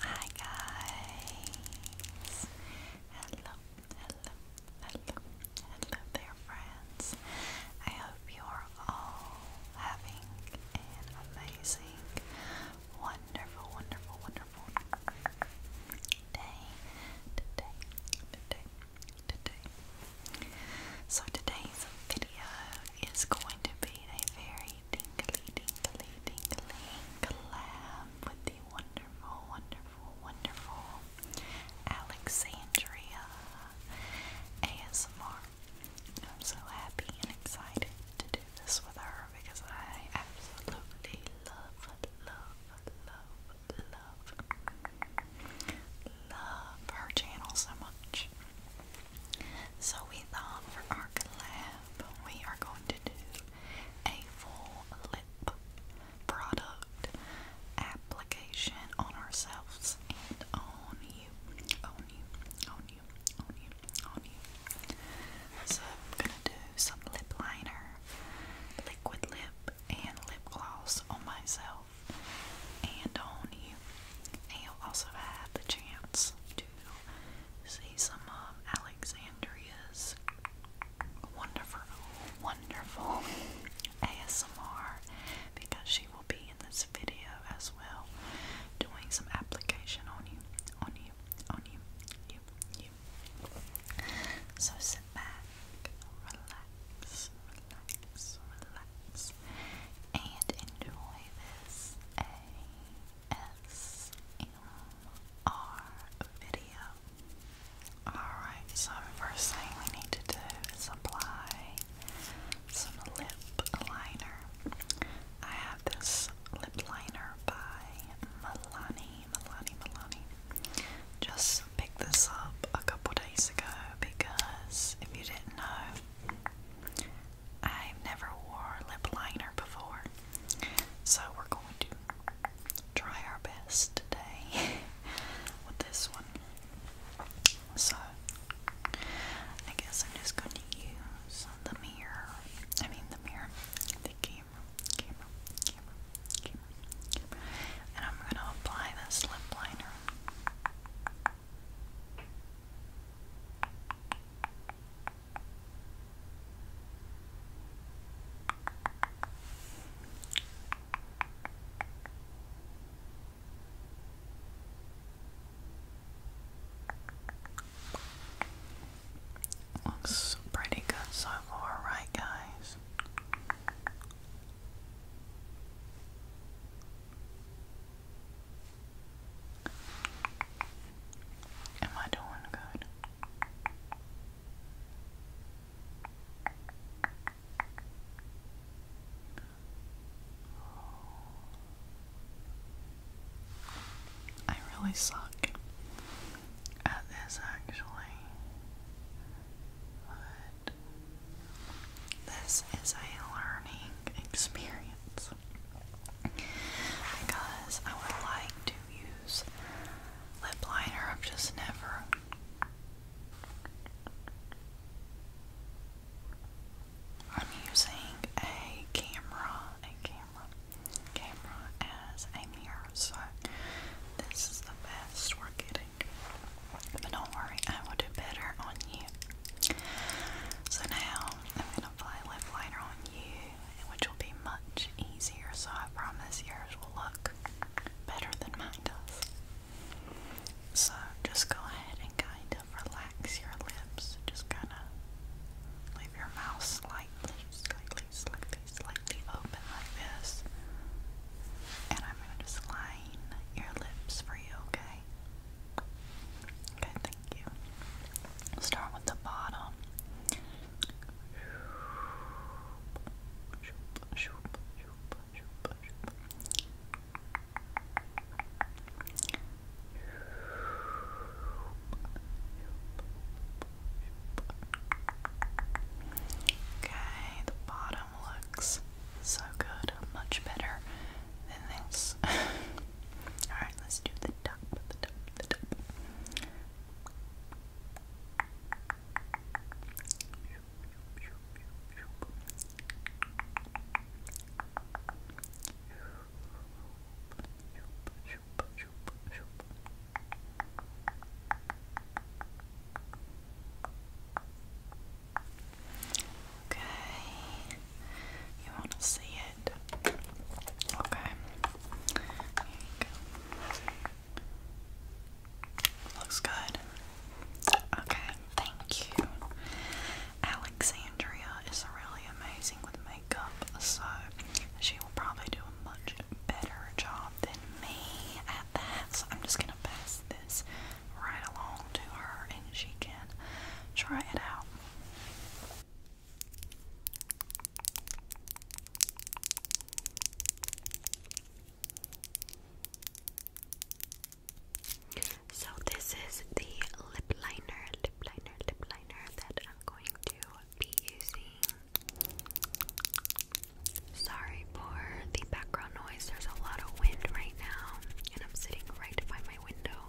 Hi guys! Hello, hello, hello, hello there friends. I hope you're all having an amazing, wonderful, wonderful, wonderful day. Today, today, today. So today's video is going to be a very tingly, tingly, tingly collab with the wonderful, wonderful, wonderful Alexandria ASMR. I'm so happy and excited to do this with her because I absolutely love, love, love, love, love her channel so much. So we thought for our collab, we are going to do a full lip product application on ourselves and on you, on you, on you, on you, on you. So I'm gonna do some lip liner, liquid lip, and lip gloss on myself and on you. And you'll also have the chance to see some of um, Alexandria's wonderful, wonderful ASMR because she will be in this video as well doing some application on you, on you, on you, you, you. So sit back, relax, relax, relax, and enjoy this ASMR video. Alright, so first thing we need to do is apply some lip liner. I have this lip liner by Milani, Milani, Milani. Just picked this up a couple days ago because if you didn't know, I've never wore lip liner before, so we're going to try our best today with this one. So, I guess I'm just going to use the mirror. I mean, the mirror, the camera, camera, camera, camera, And I'm going to apply this lip liner. Looks pretty good so far, right, guys? Am I doing good? I really suck at this actually. But this is a learning experience because I would like to use lip liner. I've just never. I'm using a camera, a camera, camera as a mirror, so this is the best we're getting. But don't worry, I will do better on you. So now put a liner on you, which will be much easier. So I promise yours will look better than mine does. So just go ahead and kind of relax your lips. Just kind of leave your mouth slightly, slightly, slightly, slightly open like this. And I'm going to just line your lips for you, okay? Okay, thank you. start with the bottom. Okay, the bottom looks so good, much better than this. Alright, let's do the top, the top, the top. Okay. You want to see it? Okay. Here you go. Looks good. Okay, thank you. Alexandria is really amazing with makeup, so she will probably do a much better job than me at that. So I'm just gonna pass this right along to her and she can try it out. So this is the lip liner, lip liner, lip liner that I'm going to be using. Sorry for the background noise. There's a lot of wind right now, and I'm sitting right by my window.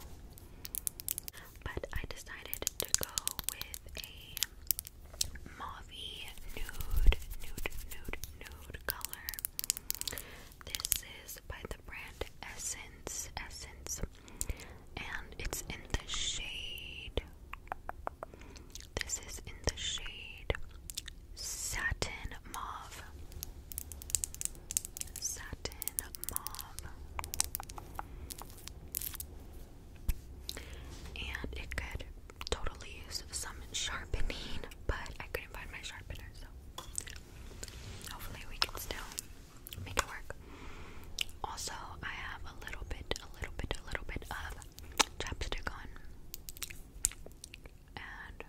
But I decided to go with a mauvey nude, nude, nude, nude color. This is by the brand Essence, Essence, and it's in the shade. This is in the shade Satin Mauve satin mauve. And it could totally use some sharpening, but I couldn't find my sharpener, so hopefully we can still make it work. Also, I have a little bit, a little bit, a little bit of chapstick on. And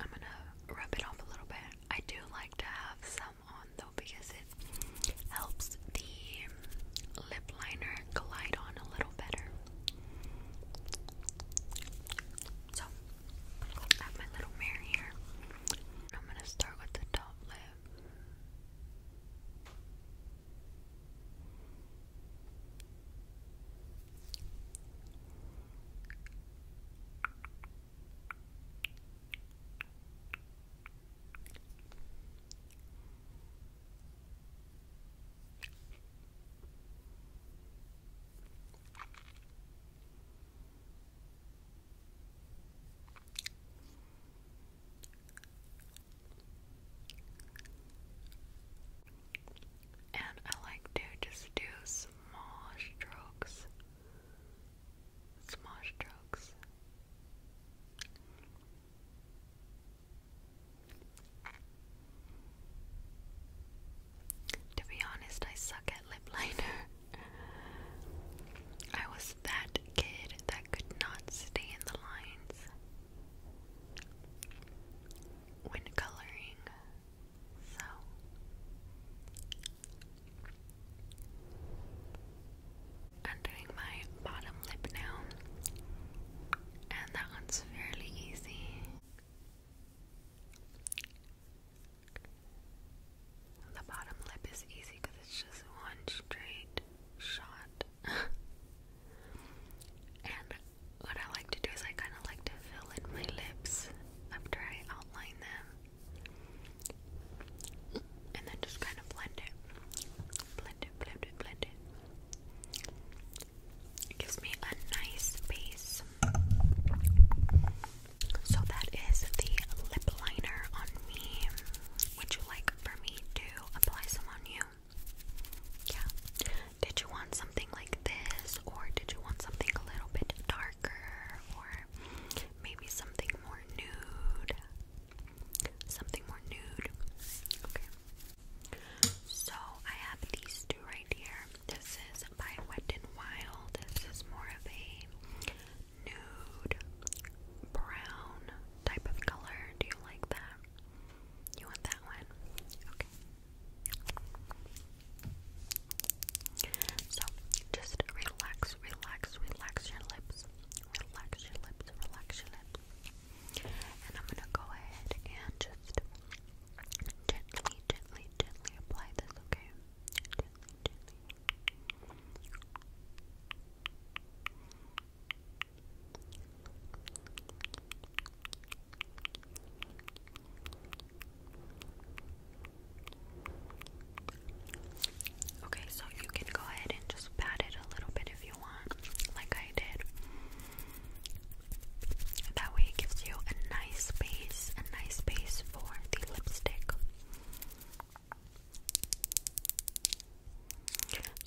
I'm gonna rub it off a little bit. I do like to have some on though because it helps the lip liner glide on a little better. So, I have my little mirror here. I'm gonna start with the top lip. And I like to just do small strokes small strokes. To be honest, I suck at lip liner. I was that kid that could not stay in the lines. When coloring, so I'm doing my bottom lip now, and that one's fairly easy. The bottom lip is easy because it's just one straight shot. and what I like to do is I kind of like to fill in my lips after I outline them and then just kind of blend it. Blend it, blend it, blend it. gives me a nice base. So that is the lip liner on me. Would you like for me to apply some on you? Yeah. Did you want something like this, or did you want something a little bit darker, maybe something more nude. Something more nude. Okay. So I have these two right here. This is by Wet n Wild. This is more of a nude brown type of color. Do you like that? You want that one? Okay. So just relax, relax, relax your lips. Relax your lips, relax your lips. And I'm gonna go ahead and just gently, gently, gently apply this, okay? Okay, so you can go ahead and just pat it a little bit if you want, like I did. That way, it gives you a nice base, a nice base for the lipstick.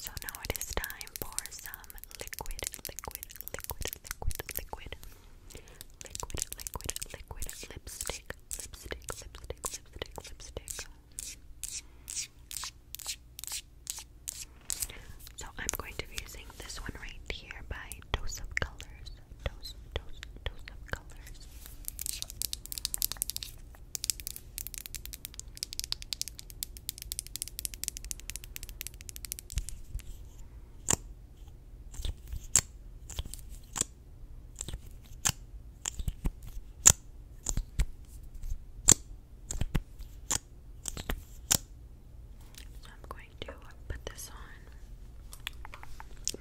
So now it is time for some liquid, liquid, liquid, liquid, liquid. Liquid, liquid, liquid lipstick, lipstick, lipstick, lipstick, lipstick. So I'm going to be using this one right here by Dose of Colors. Dose, dose, dose of colors. So I'm going to put this on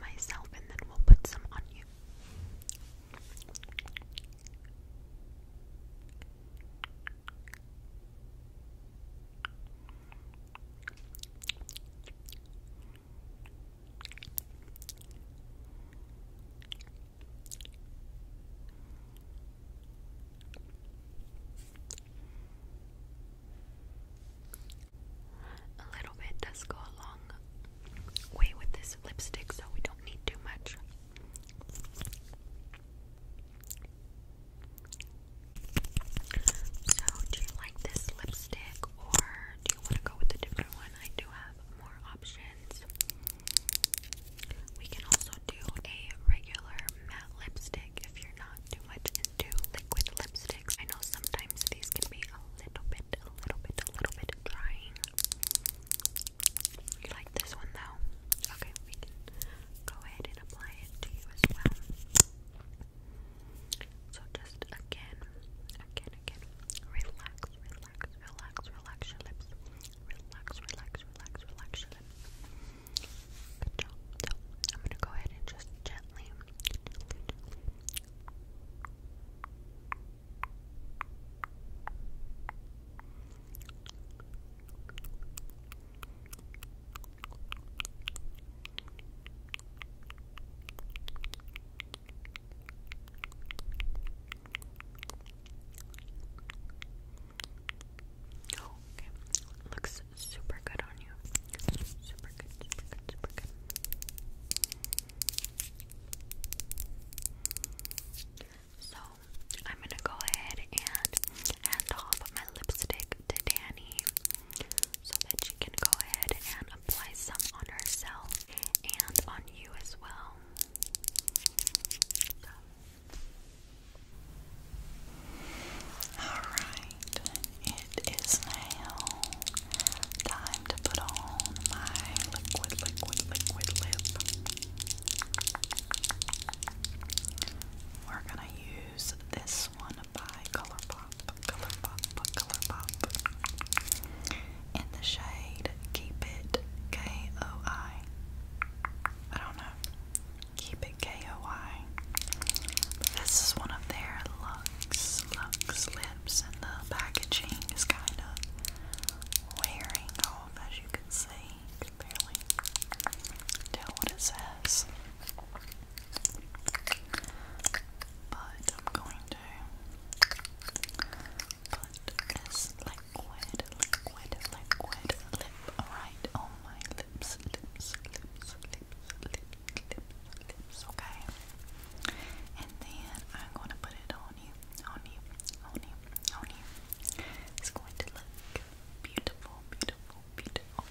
myself and then we'll put some on you. A little bit does go a long way with this lipstick, so we don't need too much. So, do you like this lipstick or do you want to go with a different one? I do have more options. We can also do a regular matte lipstick if you're not too into liquid lipsticks. I know sometimes these can be a little bit, a little bit, a little bit drying. You like this one though? Okay, we can go ahead and apply it to you as well. So just again, again, again, relax, relax, relax, relax your lips. Relax, relax, relax, relax lips. Good job. So I'm gonna go ahead and just gently, Looks super good on you. Super good, super good, super good. So, I'm gonna go ahead and hand off my lipstick to Danny so that she can go ahead and apply some on herself and on you as well. Alright, it is now time to put on my liquid, liquid, liquid lip. We're gonna use this one by ColourPop. In the shade Keep It K O I. I don't know. Keep It K O I. This is one of their Lux, Lux lips, and the packaging is kind of wearing off, as you can see. can barely tell what it says. But I'm going but liquid, liquid, liquid lip right on my lips, lips, lips, lips, lips, lips, lips, okay? And then I'm gonna put it on you, on you, on you, on you. It's going to look beautiful, beautiful, beautiful.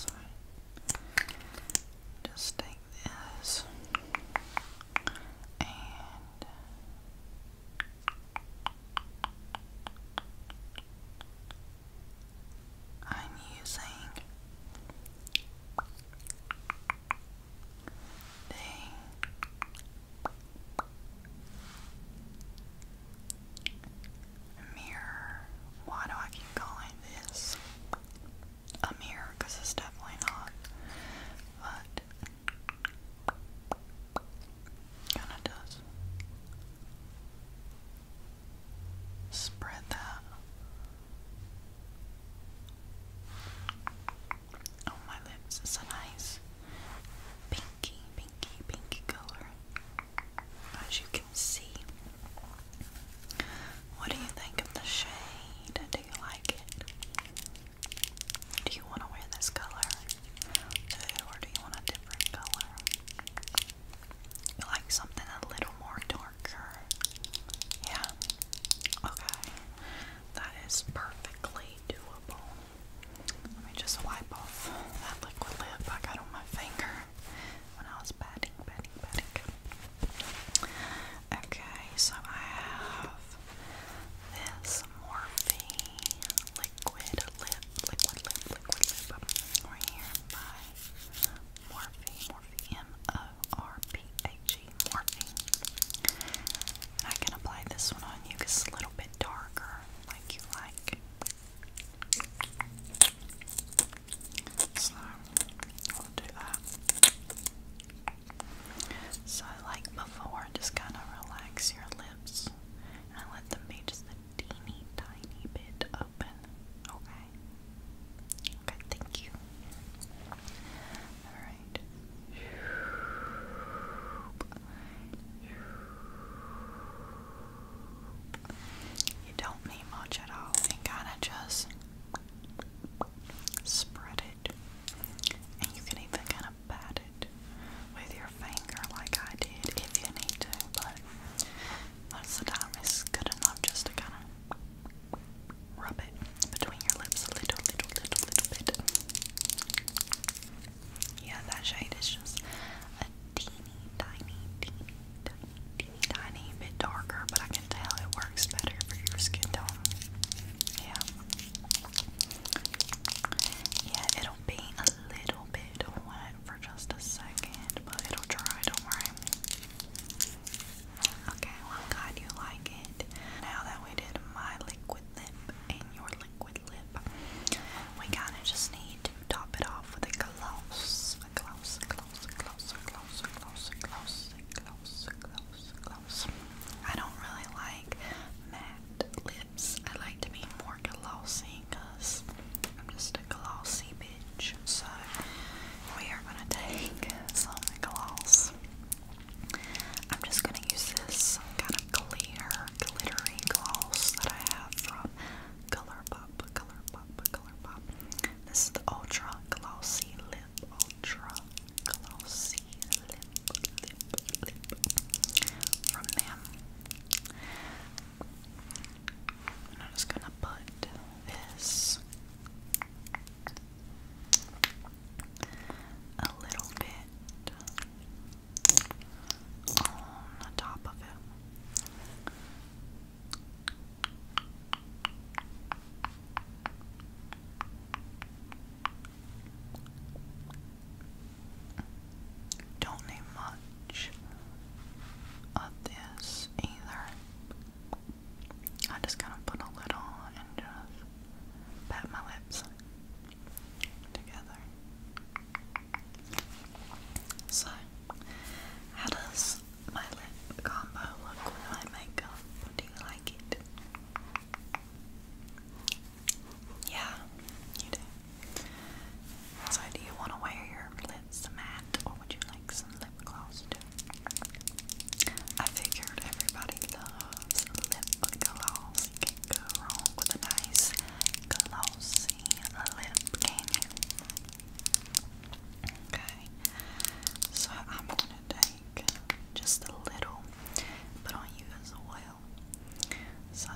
Sorry. Just take this and I'm using the mirror. Why do I keep calling this a mirror? Because it's definitely not. But kind of does. Spread that. On oh, my lips, it's nice pinky, pinky, pinky color as you can see. What do you think of the shade? Do you like it? Do you want to wear this color? Or do you want a different color? You like something a little more darker? Yeah? Okay. That is perfectly doable. Let me just wipe off that liquid lip I got on my finger when I was batting, batting, batting. Okay, so I have this Morphe liquid lip, liquid lip, liquid lip by Morphe, Morphe, M-O-R-P-H-E, Morphe. I can apply this one on you because it's a little bit darker, like you like. So we'll do that. So, like before, just kind of relax your lips and let them be just a teeny tiny bit open. Okay? Okay, thank you. Alright. You don't need much at all, You can kind of just spread it. And you can even kind of pat it with your finger, like I did, if you need to. But most of the time, it's good enough just to kind of rub it between your lips a little, little, little, little bit. Yeah, that shade is just a teeny, tiny, teeny, tiny, teeny, tiny bit darker, but I can tell it works better for your skin tone. Yeah. Yeah, it'll be a little bit wet for just a second, but it'll dry, don't worry. Okay, well, glad you like it. Now that we did my liquid lip and your liquid lip, we kind of just need to top it off with a gloss. A gloss, closer, closer, closer, closer, closer, closer, closer, closer. I don't really like matte lips. I like to be more glossy because I'm just a glossy bitch. So we are gonna take some gloss. I'm just gonna use this kind of clear, glittery gloss that I have from ColourPop, ColourPop, ColourPop. This is the Ultra Glossy Lip. Ultra Glossy Lip, Lip, Lip from them. And I'm just gonna put this a little bit on the top of it. Don't need much of this either. I just kind of put a lid on and just pat my lips together. So how does my lip combo look with my makeup? Do you like it? Yeah, you do. So, do you want to wear your lips matte or would you like some lip gloss too? I figured everybody loves lip gloss. can't go wrong with a nice glossy lip, can Okay, so I'm gonna take just a little, but on you as well. So,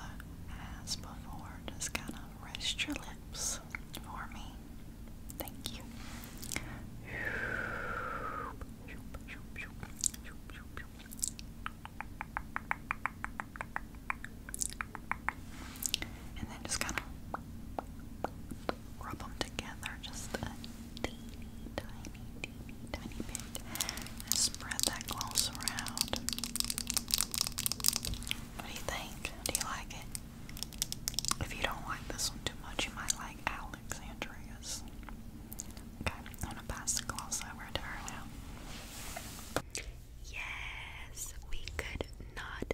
as before, just kind of rest your lips for me. Thank you. And then just kind of rub them together just a teeny, tiny, tiny bit spread that gloss around. What do you think? Do you like it? If you don't like this one too much, you might like Alexandria's. Okay, I'm gonna pass the gloss over to her now. Yes, we could not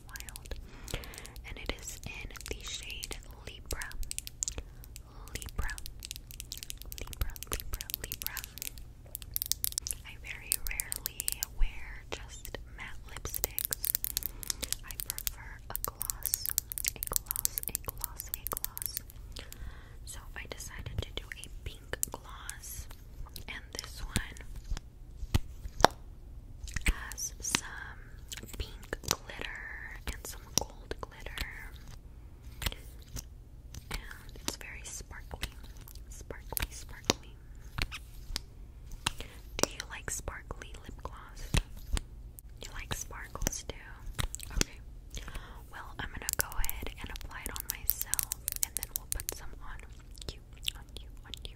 Wild, and it is in the shade Libra. Libra, Libra, Libra, Libra. I very rarely wear just matte lipsticks. I prefer a gloss, a gloss, a gloss, a gloss. So I decided to do a pink gloss, and this one has some pink glitter and some gold glitter. And it's very sparkly. Sparkly, sparkly. Do you like sparkly lip gloss? You like sparkles too? Okay. Well, I'm gonna go ahead and apply it on myself and then we'll put some on you, on you, on you.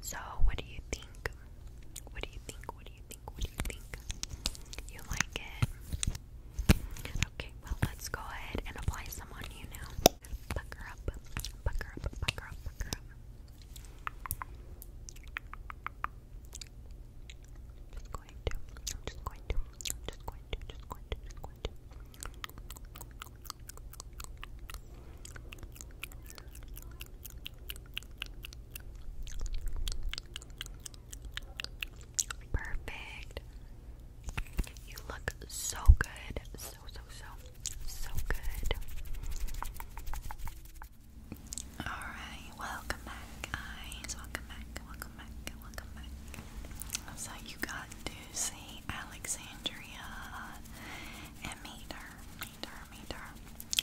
So, what do you think? What do you think? What do you think? What do you think? You like it? Okay, well, let's go ahead and apply some on you now. Pucker up, pucker up, pucker up, pucker up. Just going to, I'm just going to, I'm just going to, just going to, just going to. Perfect. You look so good. So, so, so, so good. Alright, welcome back, guys. Welcome back, welcome back, welcome back. So, you got to see Alexandria meet her, meet her, meet her.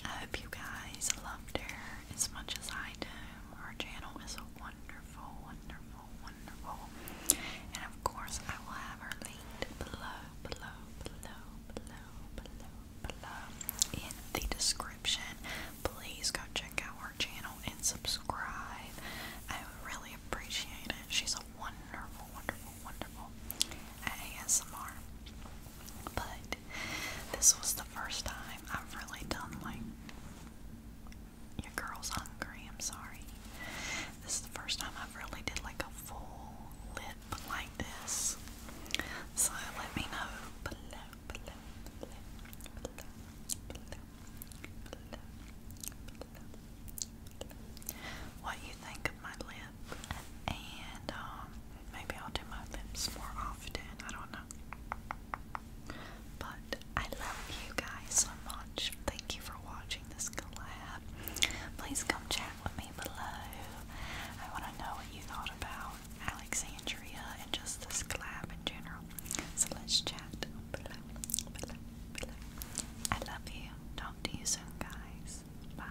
I hope you guys loved her as much as I do. Her channel is wonderful, wonderful. And of course, I will have her linked below, below, below, below, below, below in the description. Please go check out her channel and subscribe. I would really appreciate it. She's a wonderful, wonderful, wonderful ASMR. But this was the first time I've really done like your girl's hungry, I'm sorry. This is the first time I've really did like a full lip like this. So let me know below, below, below, below, below, below, below, what you think of my lip. And um, maybe I'll do my lips more often, I don't know. But I love you guys so much. Thank you for watching this collab. Please come chat with me below. I want to know what you thought about Alexandria and just this collab in general. So let's chat below, below, below. I love you. Talk to you soon, guys. Bye.